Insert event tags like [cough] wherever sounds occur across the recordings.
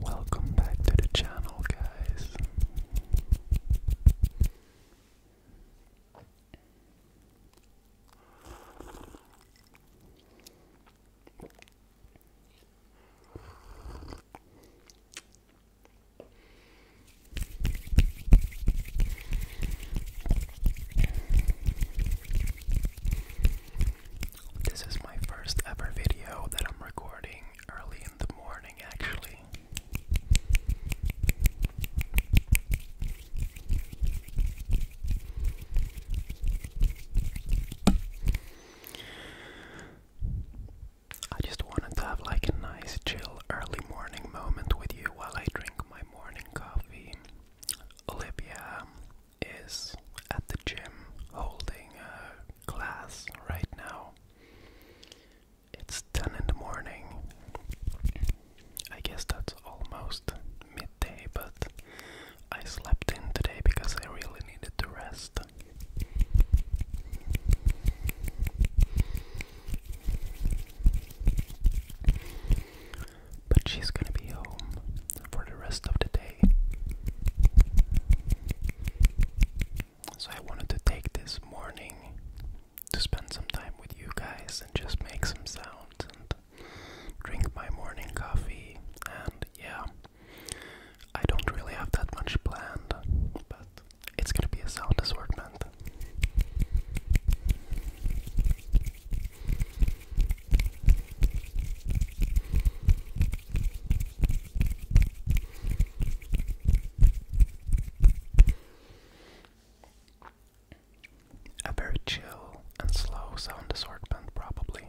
Welcome back to the channel, guys. This is my first ever video that I'm recording early in the morning, actually. I just wanted to have like a nice chill early morning moment with you while I drink my morning coffee. Olivia is at the gym holding a glass right now. It's 10 in the morning. I guess that's almost mid night but I slept in today because I really needed to rest. But she's gonna be home for the rest of the day. So I wanted to take this morning to spend some time with you guys and just make some sounds drink my morning coffee, and yeah, I don't really have that much planned, but it's gonna be a sound assortment. A very chill and slow sound assortment, probably.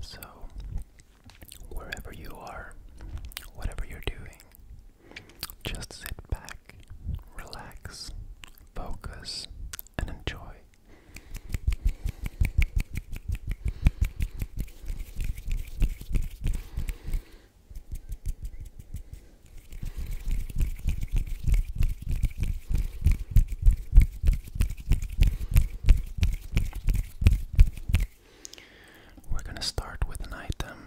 So, wherever you are, whatever you're doing, just sit back, relax, focus, and enjoy. We're going to start with an item.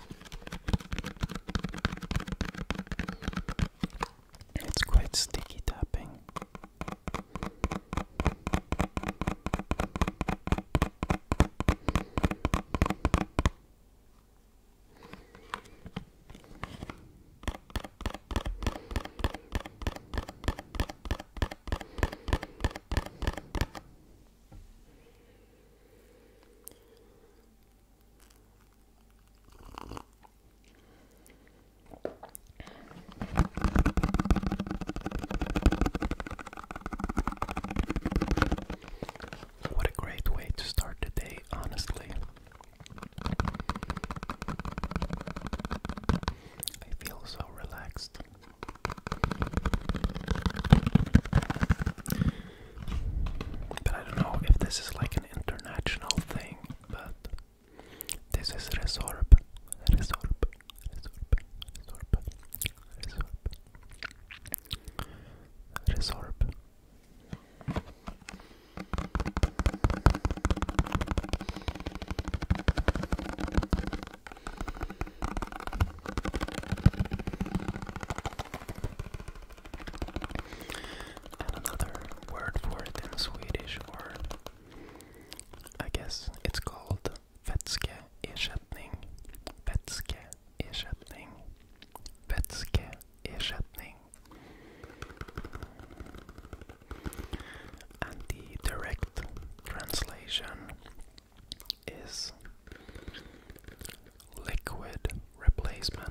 It's quite sticky tapping. What a great way to start the day, honestly. I feel so relaxed. But I don't know if this is like an international thing, but this is resorb. Resorb. Resorb. Resorb. Resorb. Resorb. And another word for it in Swedish, or I guess it's called vetske ersättning. Vetske ersättning. Vetske ersättning. And the direct translation is liquid replacement.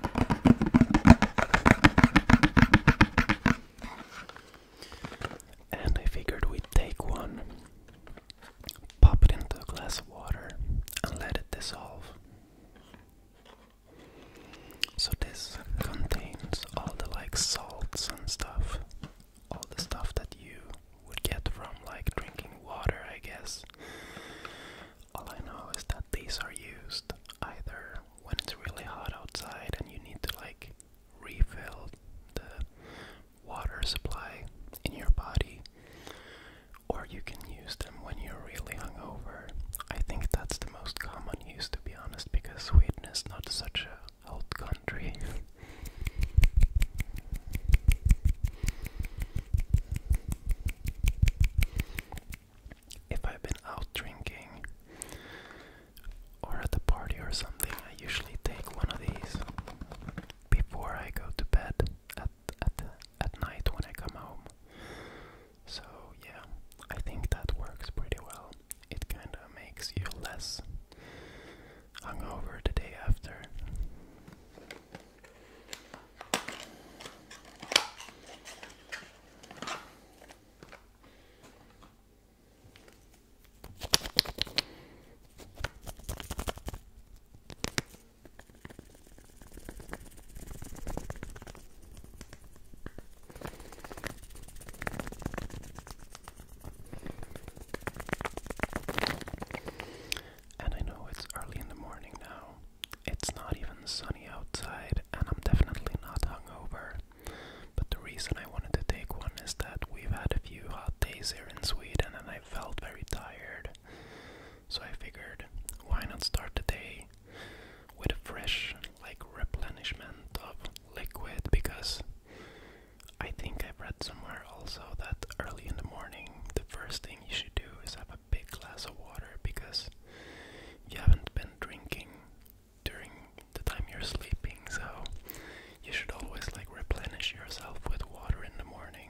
And I figured we take one, pop it into a glass of water, and let it dissolve. So this contains all the like salts and stuff, all the stuff that you would get from like drinking water, I guess. All I know is that these are used either when it's really hot outside and you need to like refill the water supply in your body, or you can use them when you're really hungover. I think that's the most common use, to be honest, because Sweden is not such a hot country if I've been out drinking or at the party or something, I usually take one of these before I go to bed at at at night when I come home. So yeah, I think that works pretty well. It kind of makes you less hungover the day after. And I know it's early in the morning now. It's not even sunny outside, and I'm definitely not hungover. But the reason I wanted to take one is that we've had a few hot days here in Sweden and I felt very tired. So I figured, why not start the day with a fresh, like, replenishment of liquid? Because I think I've read somewhere also that early in the morning, the first thing you should do is have a big glass of water because you haven't been drinking during the time you're sleeping, so you should always like replenish yourself with water in the morning.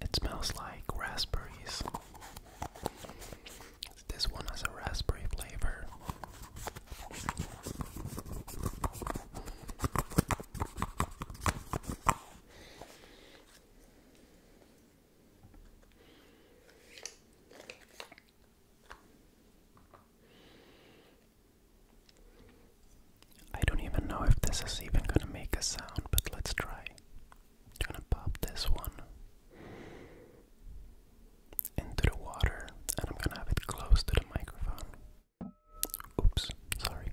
It smells like raspberries. This one has a raspberry flavor. I don't even know if this is even gonna make a sound, but let's try. I'm gonna pop this one into the water and I'm gonna have it close to the microphone. Oops, sorry.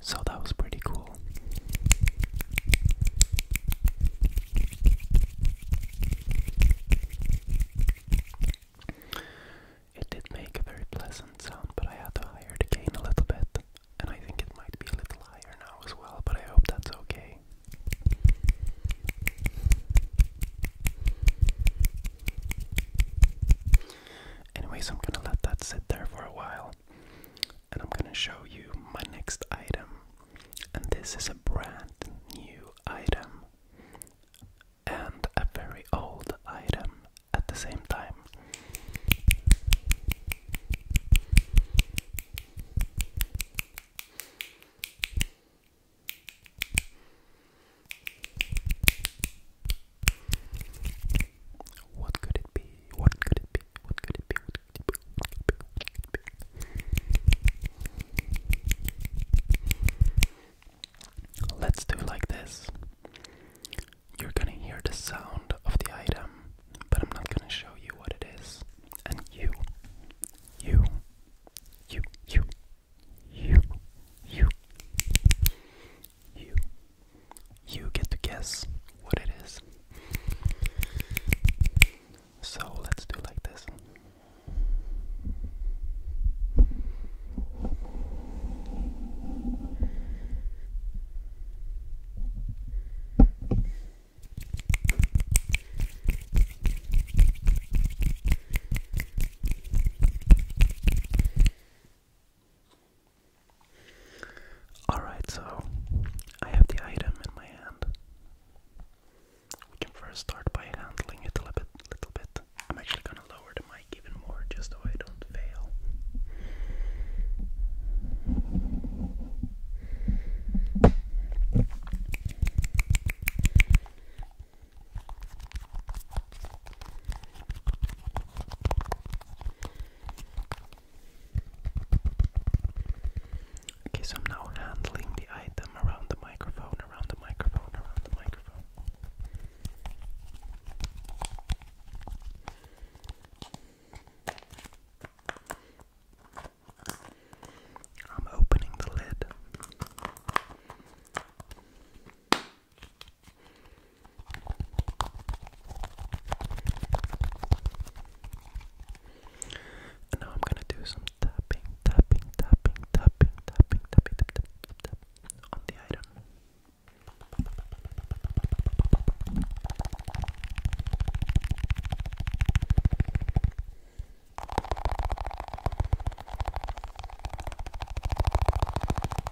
So that was pretty cool. It did make a very pleasant sound, but I had to higher the gain a little bit, and I think it might be a little higher now as well, but I hope that's okay. Anyways, I'm gonna let that sit there for a while. And I'm gonna show you my next item. And this is a brand new item. And a very old item at the same time. What could it be? What could it be? What could it be? Let's do like this. You're gonna hear the sound of the item, but I'm not gonna show you what it is. And you, you, you, you, you, you, you. You get to guess what it is. So let's do like this. Alright, so I have the item in my hand. We can first start by handling it a little bit. I'm actually gonna lower the mic even more just so I don't fail. Okay, so I'm now handling the item around the microphone, around the microphone, around the microphone. I'm opening the lid. And now I'm gonna do some tapping, tapping, tapping, tapping, tapping, tapping, tap, tap, on the item.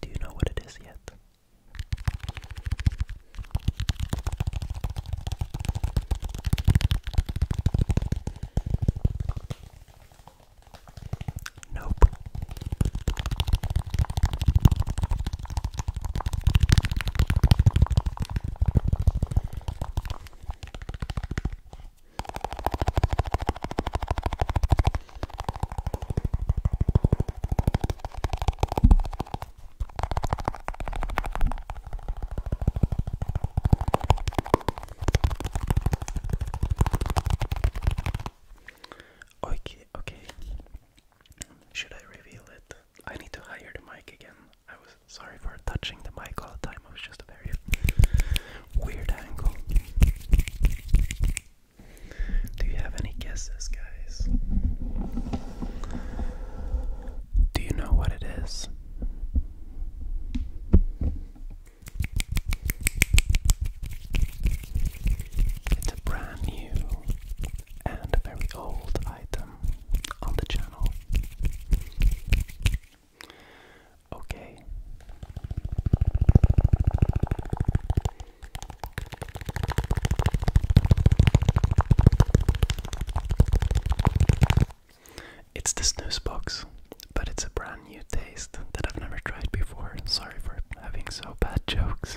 Do you know what it is yet? Nope. Okay, okay. Should I reveal it? I need to hire the mic again. I was sorry for touching the mic all the time. I was just a very weird angle. Do you have any guesses, guys? Do you know what it is? It's a brand new and a very old item on the channel. Okay. It's the snooze box, but it's a brand new taste that I've never tried before. Sorry for having so bad [laughs] jokes.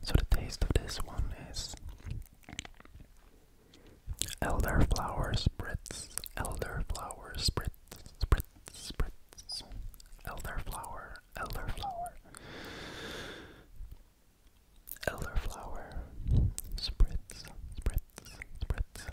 So the taste of this one is elder elderflower spritz, flowers, spritz, spritz, spritz, elderflower, elderflower, elderflower, spritz, spritz, spritz.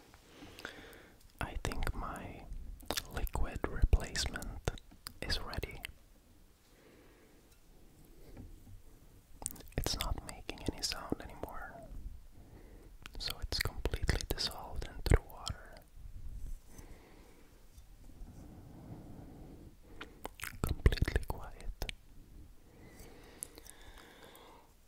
I think my liquid replacement is ready. It's not making any sound anymore, so it's completely dissolved into the water. Completely quiet.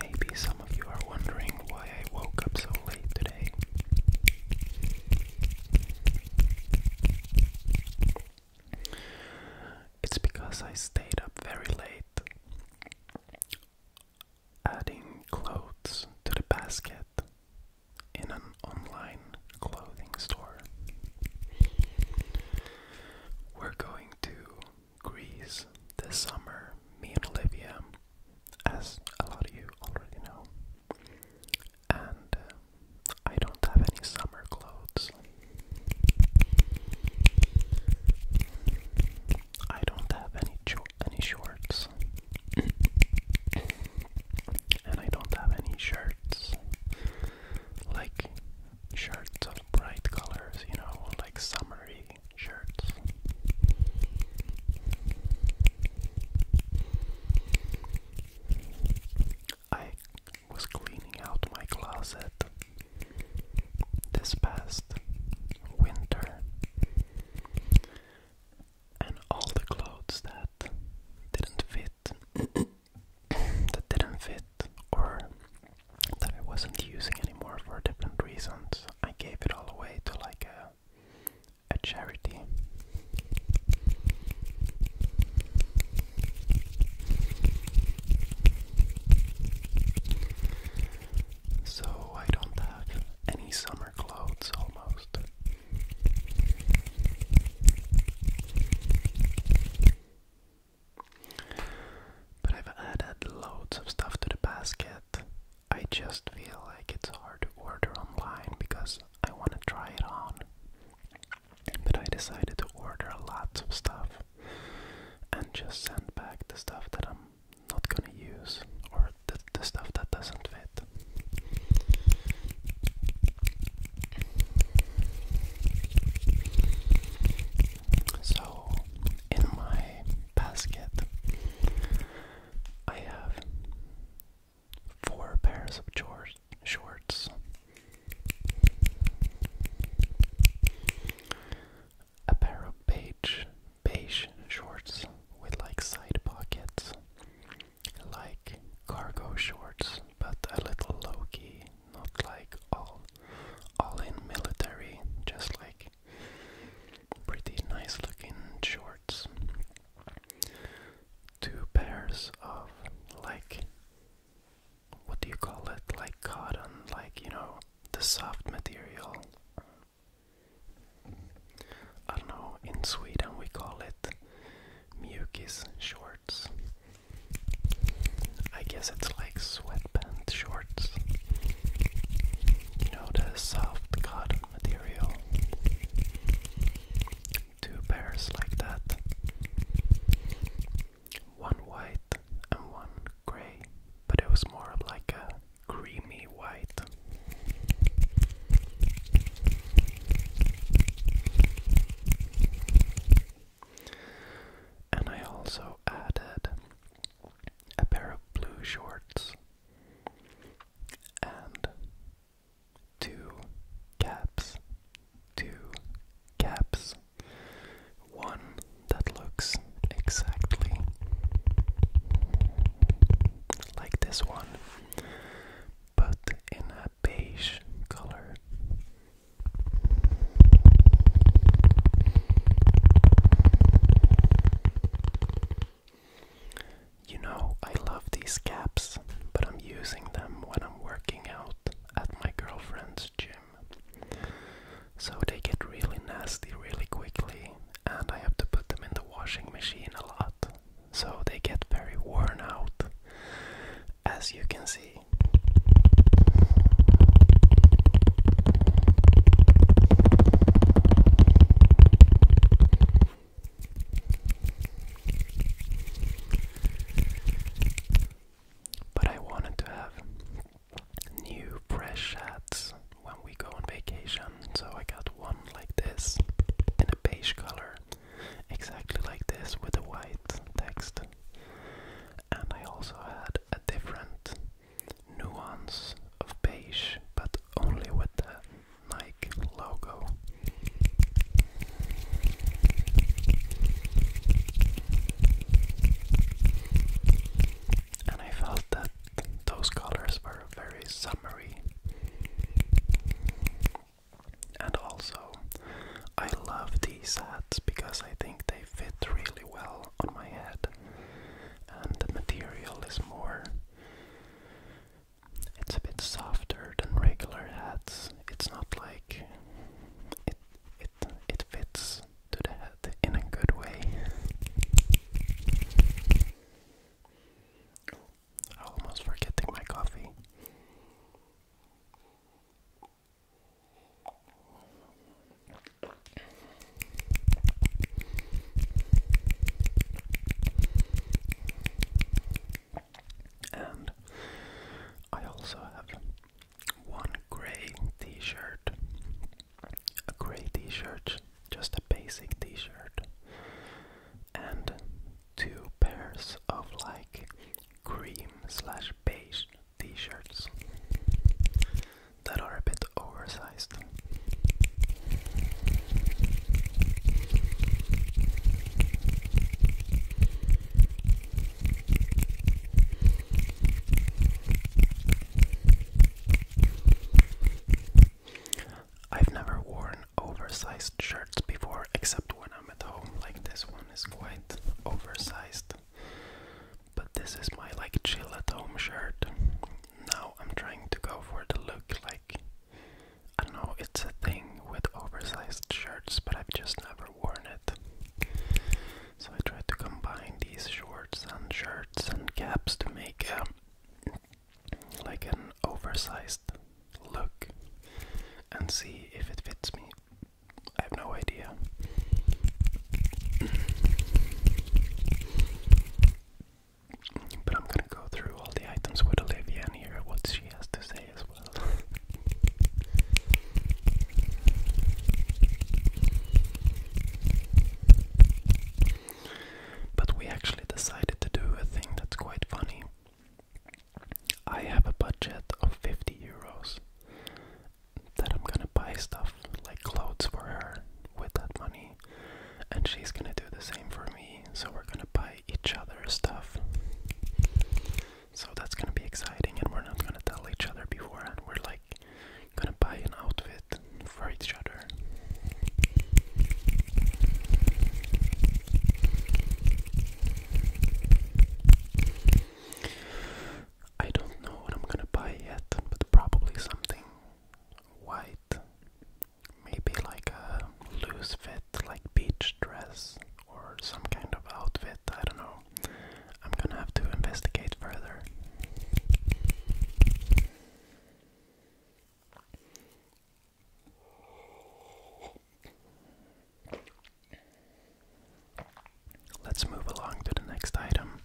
Maybe some of you are wondering why I woke up so late today. It's because I stayed up very late adding clothes to the basket in an online clothing store. We're going to Greece this summer, me and Olivia, as a lot of you already know. And uh, I don't have any summer clothes. I don't have any choice any shorts. and I don't have any shirts. Like shirts of bright colors, you know, like summery shirts. I was cleaning out my closet this past winter and all the clothes that didn't fit [coughs] that didn't fit or that I wasn't using anymore for different reasons, I gave it all away to like a a charity. So I don't have any summer clothes almost. But I've added loads of stuff to the basket. I just feel like it's hard to order online because I want to try it on. But I decided to order lots of stuff and just send back the stuff that I'm not gonna use or the the, stuff that doesn't fit. So, in my basket, I have four pairs of shorts, a pair of beige shorts with like side pockets like cargo shorts, but a little low key, not like all all in military, just like pretty nice looking shorts. Two pairs of like what do you call it? Like cotton, like you know, the soft material. I don't know, in Sweden we call it mjukis shorts. I guess it's like sweatpants shorts. You know, the soft cotton material. Two pairs like that. One white and one grey, but it was more like a creamy White. And I also added a pair of blue shorts and two caps. Two caps. One that looks exactly like this one, but in a beige color. You know, I love these caps, but I'm using them when I'm working out at my girlfriend's gym. So they get really nasty really quickly, and I have to put them in the washing machine a lot so they get very worn out, as you can see. But I wanted to have new fresh hats when we go on vacation. So I got one like this in a beige color, exactly like this with a white text. And I also had a different nuance of beige, but only with the Nike logo. And I felt that those colors were are very summery. And also, I love these hats because I think they fit really well on my head, and the material is more. It's a bit softer than regular hats. It's not like it it fits to the head in a good way. I'm almost forgetting my coffee. And I also have one grey t shirt. A grey t shirt, just a basic t shirt and two pairs of like cream slash beige t-shirts that are a bit oversized. I've never worn oversized shirts before except when I'm at home. Like this one is quite oversized. But this is my like chill at home shirt. Now I'm trying to go for the look like I know, it's a thing with oversized shirts, but I've just never worn it. So I tried to combine these shorts and shirts and caps to make a like an oversized look and see if it fits me. I have no idea. But I'm gonna go through all the items with Olivia and hear what she has to say as well. but we actually decided to do a thing that's quite funny. I have a budget of 50 euros that I'm gonna buy stuff like clothes for her with that money, and she's gonna do the same for me. So we're gonna buy each other stuff. So that's gonna be exciting, and we're not gonna tell each other beforehand. We're like gonna buy an outfit for each other. I don't know what I'm gonna buy yet, but probably something white. Maybe like a loose fit, like beach dress or some kind of outfit. I don't know. I'm gonna have to investigate further. Let's move along to the next item.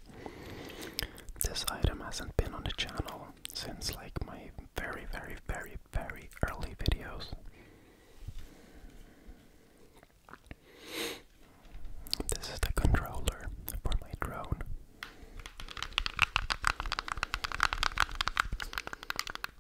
This item hasn't been on the channel since like my very, very, very, very early videos. This is the controller for my drone.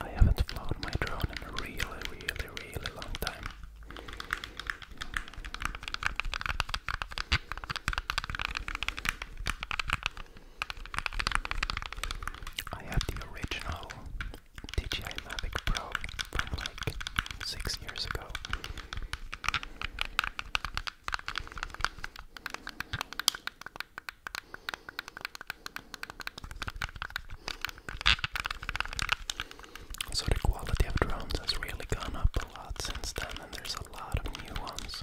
I haven't flown my drone in a really, really, really long time. I have the original DJI Mavic Pro from like six years ago. So the quality of drums has really gone up a lot since then, and there's a lot of new ones.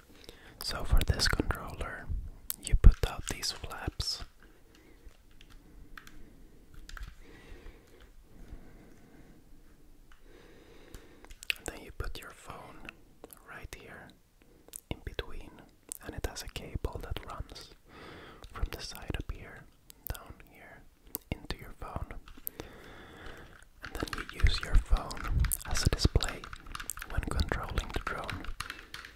So for this controller, you put out these flaps. then you put your phone right here in between, and it has a cable that runs from the side up here, down here, into your phone. And then you use your phone as a display when controlling the drone.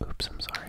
Oops, I'm sorry.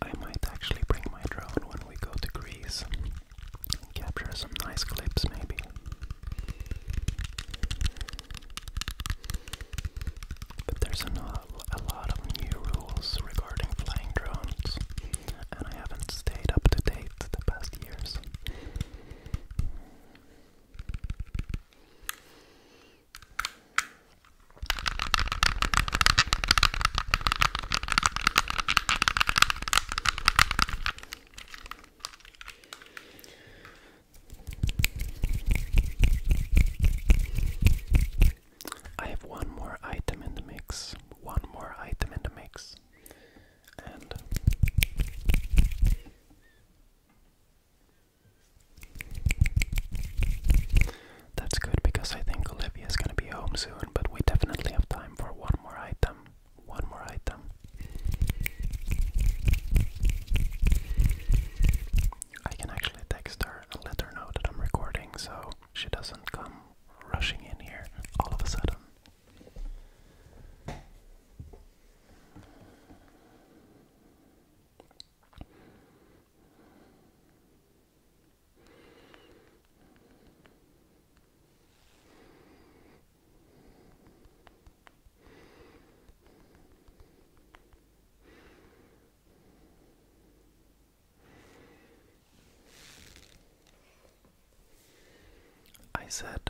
I might actually bring my drone when we go to Greece and capture some nice clips, maybe. But there's a lot, of new rules regarding flying drones, and I haven't stayed up to date the past years. I have one more item in the mix. One more item in the mix. And that's good because I think Olivia's gonna be home soon, but we definitely have time for one more item. One more item. I can actually text her and let her know that I'm recording so she doesn't come rushing in here all of a sudden. I said,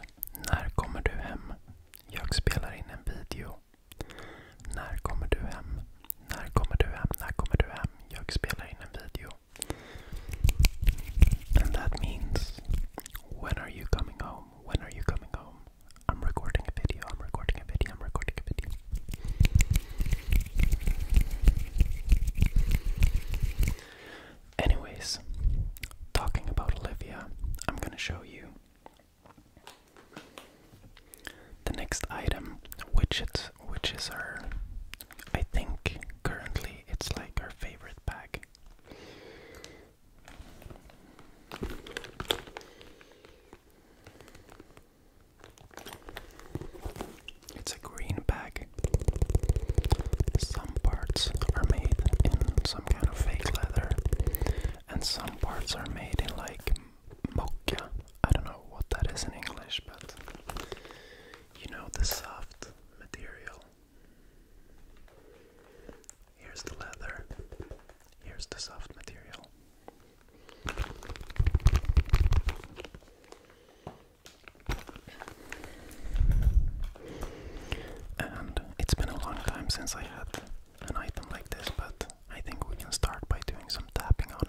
när kommer du hem? Jag spelar in en video. När kommer du hem? När kommer du hem? När kommer du hem? Jag spelar in en video. And that when are you coming home? When are you coming home? I'm recording a video, I'm recording a video, I'm recording a video. Anyways, talking about Olivia, I'm gonna show you the next item, which it's which is our. I think currently it's like our favorite bag. It's a green bag. Some parts are made in some kind of fake leather, and some parts are made in like mocha. I don't know what that is in English, but you know, the soft material. Here's the leather. Here's the soft material. And it's been a long time since I had an item like this, but I think we can start by doing some tapping on it.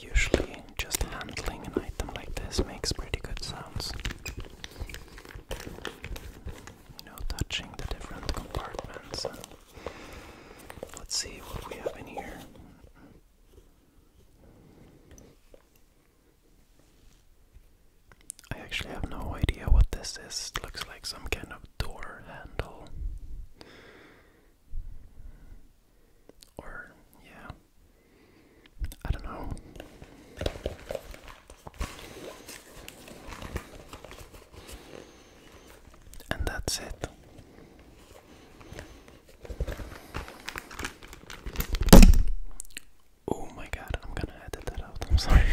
Usually, just handling an item like this makes pretty good sounds. You know, touching the different compartments. let's see what we have in here. I actually have no idea what this is. looks like some kind of door handle. Or, yeah. I don't know. And that's it. Oh my god, I'm gonna edit that out. I'm sorry. [laughs]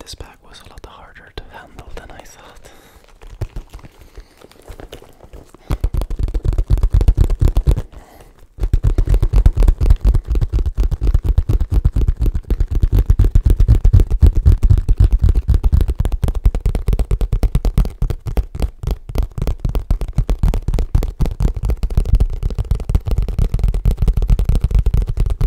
This bag was a lot harder to handle than I thought.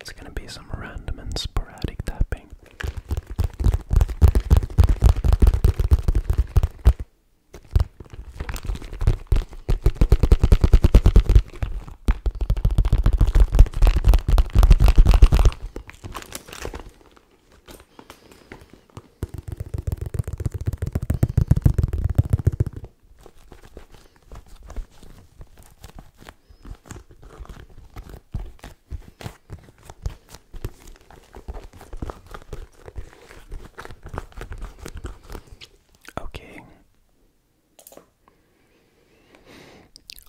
It's going to be some random and sporadic tapping. Okay.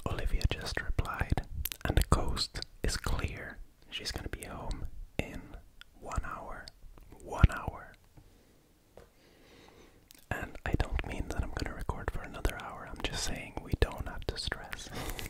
Olivia just replied, and the coast is clear. She's gonna be home in one hour. One hour. And I don't mean that I'm gonna record for another hour, I'm just saying we don't have to stress. [laughs]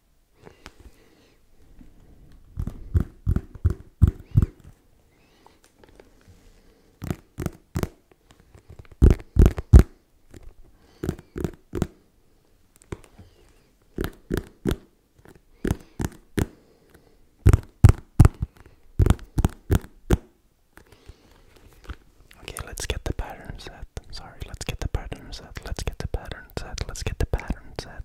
Okay, let's get the pattern set. Sorry, let's get the pattern set. Let's get the pattern set. Let's get the pattern set.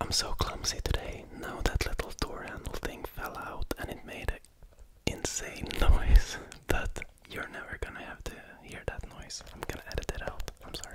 I'm so clumsy today. Now that little door handle thing fell out and it made a insane [laughs] noise that you're never gonna have to hear that noise. I'm gonna edit it out. I'm sorry.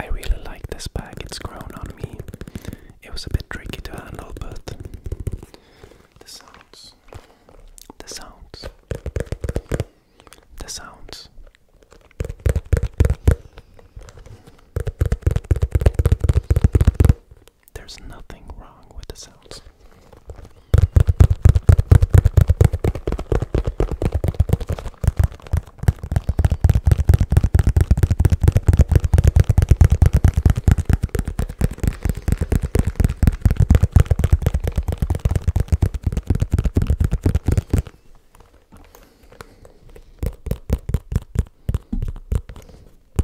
I really like this bag, it's grown on me. It was a bit tricky to handle, but the sounds, the sounds, the sounds. There's nothing wrong with the sounds.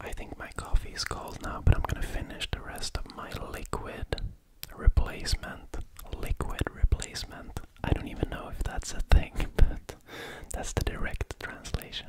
I think my coffee is cold now, but I'm going to finish the rest of my liquid replacement. Liquid replacement. I don't even know if that's a thing, [laughs] but that's the direct translation.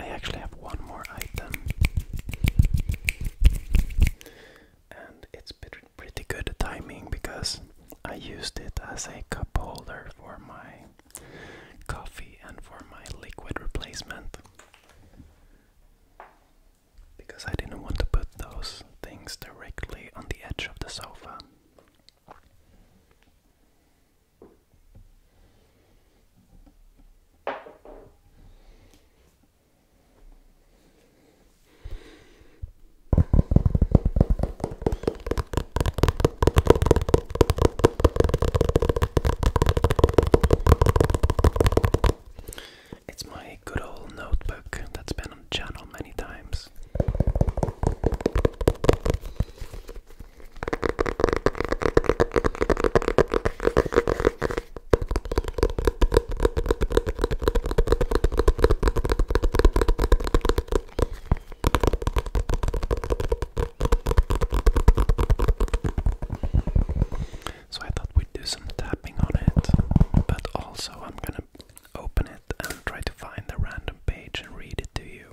I actually have one more item, and it's pretty good timing because I used it as a cup holder for my coffee and for my liquid replacement because I didn't want to put those things directly on the edge of the sofa. It's my good old notebook that's been on the channel many times. So I thought we'd do some tapping on it, but also I'm gonna open it and try to find the random page and read it to you.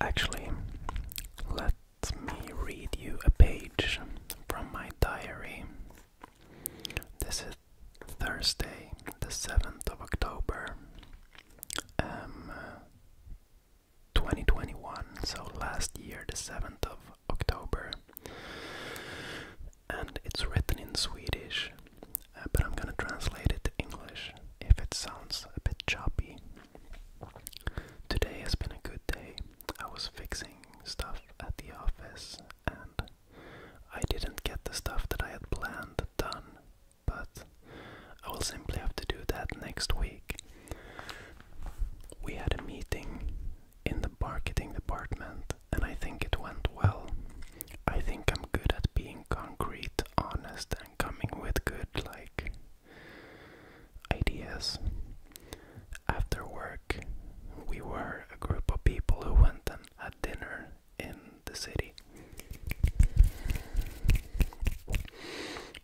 Actually, let me read you a page from my diary. This is Thursday, the 7th of October um, 2021, so last year, the 7th of October. And it's written in Swedish, uh, but I'm gonna translate it to English if it sounds a bit choppy. Today has been a good day. I was fixing stuff at the office and I didn't get the stuff that I had planned done, but I will simply have to do that next week. We had a meeting in the marketing department, and I think it went well. I think I'm good at being concrete, honest, and coming with good, like, ideas. After work, we were a group of people who went and had dinner in the city.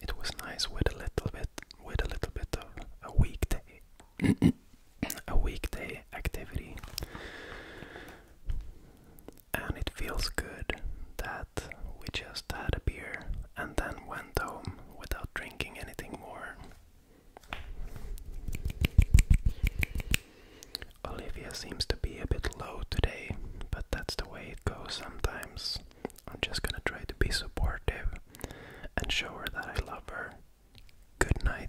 It was nice with a little bit with a little bit of a weekday [clears throat] a weekday activity. And it feels good that we just had a beer and then went home without drinking anything more. Olivia seems to be a bit low today, but that's the way it goes sometimes. I'm just gonna try to be supportive and show her that I love her. Good night.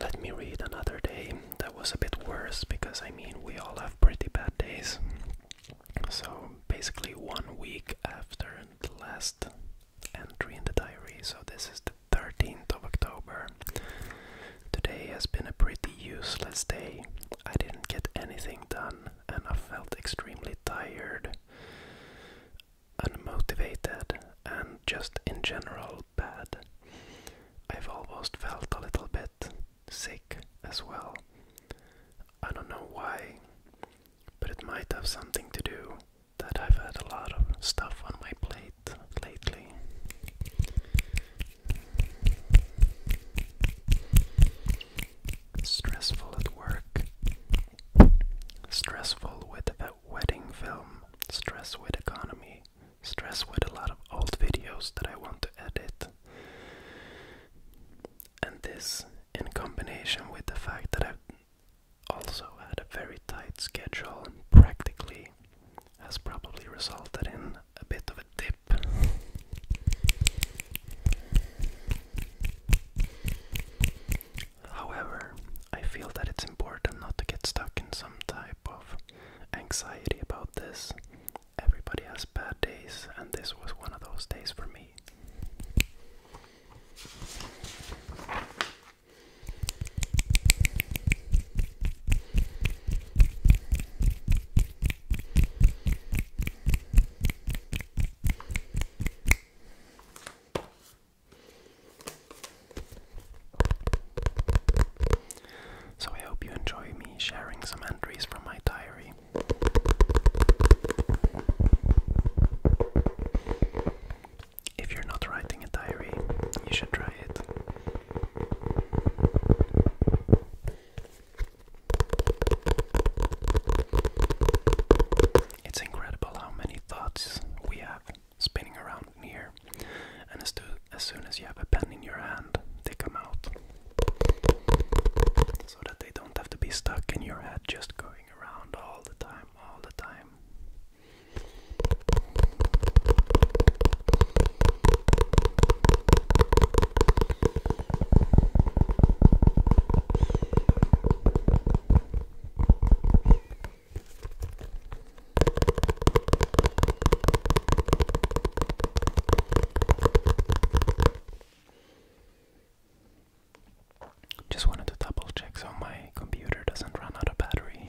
Let me read another day that was a bit worse because I mean, we all have pretty bad days. So, basically, one week after the last entry in the diary, so this is the 13th of October, Today has been a pretty useless day. I didn't get anything done and I felt extremely tired, unmotivated, and just in general bad. I've almost felt a little bit sick as well. I don't know why, but it might have something to do that I've had a lot of stuff on my plate lately. Stressful at work. Stressful with that wedding film. Stress with economy. Stress with a lot of old videos that I want to edit. And this, in combination with the fact that I've also had a very tight schedule, practically has probably resulted in a bit of a dip. However, I feel that it's important not to get stuck in some type of anxiety about this. Everybody has bad days, and this was one of those days for me. So, I hope you enjoy me sharing some entries from my diary. If you're not writing a diary, you should try it. It's incredible how many thoughts we have spinning around here, and as, as soon as you have a pen in your hand, they come out. So that they don't have to be stuck in your head, just going around all the time, all the time. Just wanted to double check so my computer doesn't run out of battery.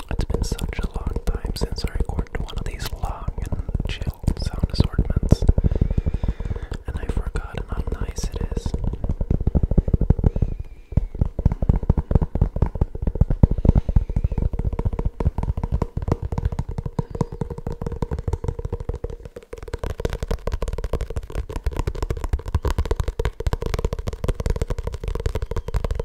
It's been such a long time since I recorded one of these long and chill sound assortments, and I forgotten how nice it is.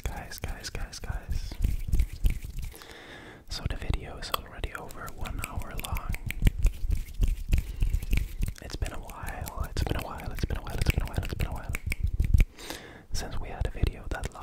Guys, guys, guys, guys, guys. So the video is already over one hour long. It's been a while, it's been a while, it's been a while, it's been a while, it's been a while. Since we had a video that long.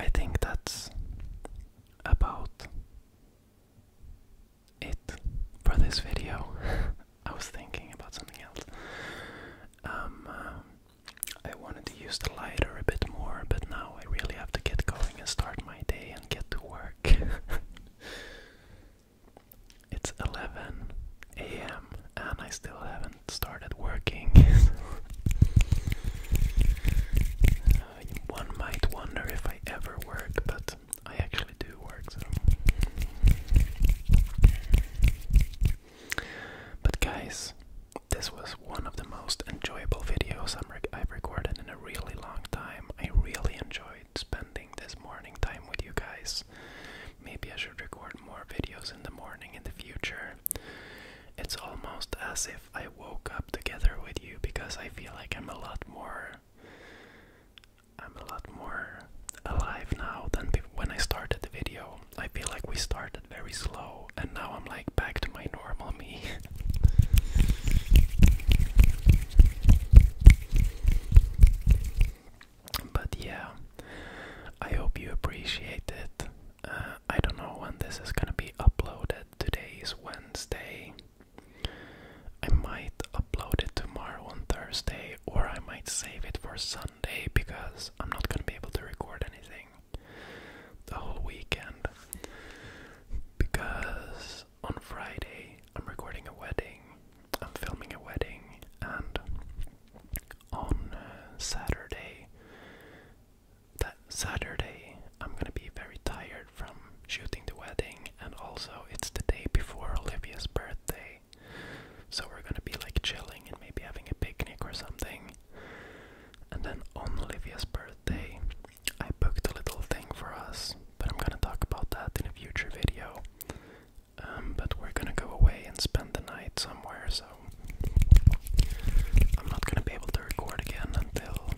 I think that's about it for this video. [laughs] I was thinking about something else. Um, uh, I wanted to use the lighter a bit more, but now I really have to get going and start my day and get to work. [laughs] it's 11 a.m. and I still haven't started working. [laughs] Uh, one might wonder if I ever work, but I actually do work so But guys, this was one of the most enjoyable videos I've recorded in a really long time. I really enjoyed spending this morning time with you guys. Maybe I should record more videos in the morning in the future. It's almost as if I woke up together with you because I feel like I'm a lot more I'm a lot more alive now than when I started the video. I feel like we started very slow, and now I'm like back to my normal me. [laughs] but yeah, I hope you appreciate it. Uh, I don't know when this is gonna be uploaded. Today is Wednesday. I might upload it tomorrow on Thursday, or I might save it for Sunday because I'm not gonna be able to record anything the whole weekend. Because on Friday, I'm recording a wedding, I'm filming a wedding, and on uh, Saturday, that Saturday, I'm gonna be very tired from shooting the wedding, and also it's the day before Olivia's birthday, so we're gonna be like chilling and maybe having a picnic or something. And then on Olivia's birthday, I booked a little thing for us, but I'm gonna talk about that in a future video. Um, but we're gonna go away and spend the night somewhere, so I'm not gonna be able to record again until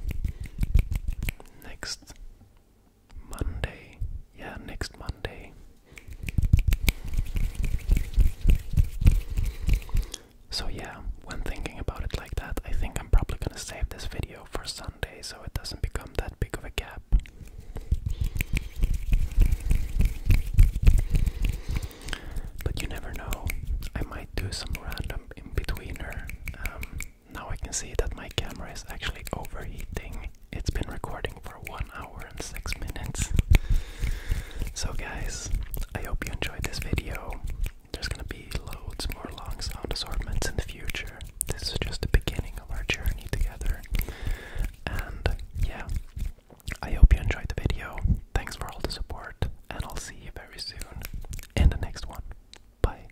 next Monday. Yeah, next Monday. So, yeah, when thinking about it like that, I think I'm probably gonna save this video for Sunday so it doesn't become that big of a gap. But you never know, I might do some random in betweener. Um, now I can see that my camera is actually overheating. It's been recording for one hour and six minutes. So, guys, I hope you enjoyed this video. There's gonna be loads more long sound assortments in the future. This is just the beginning of our journey together. And yeah, I hope you enjoyed the video. Thanks for all the support, and I'll see you very soon in the next one. Bye.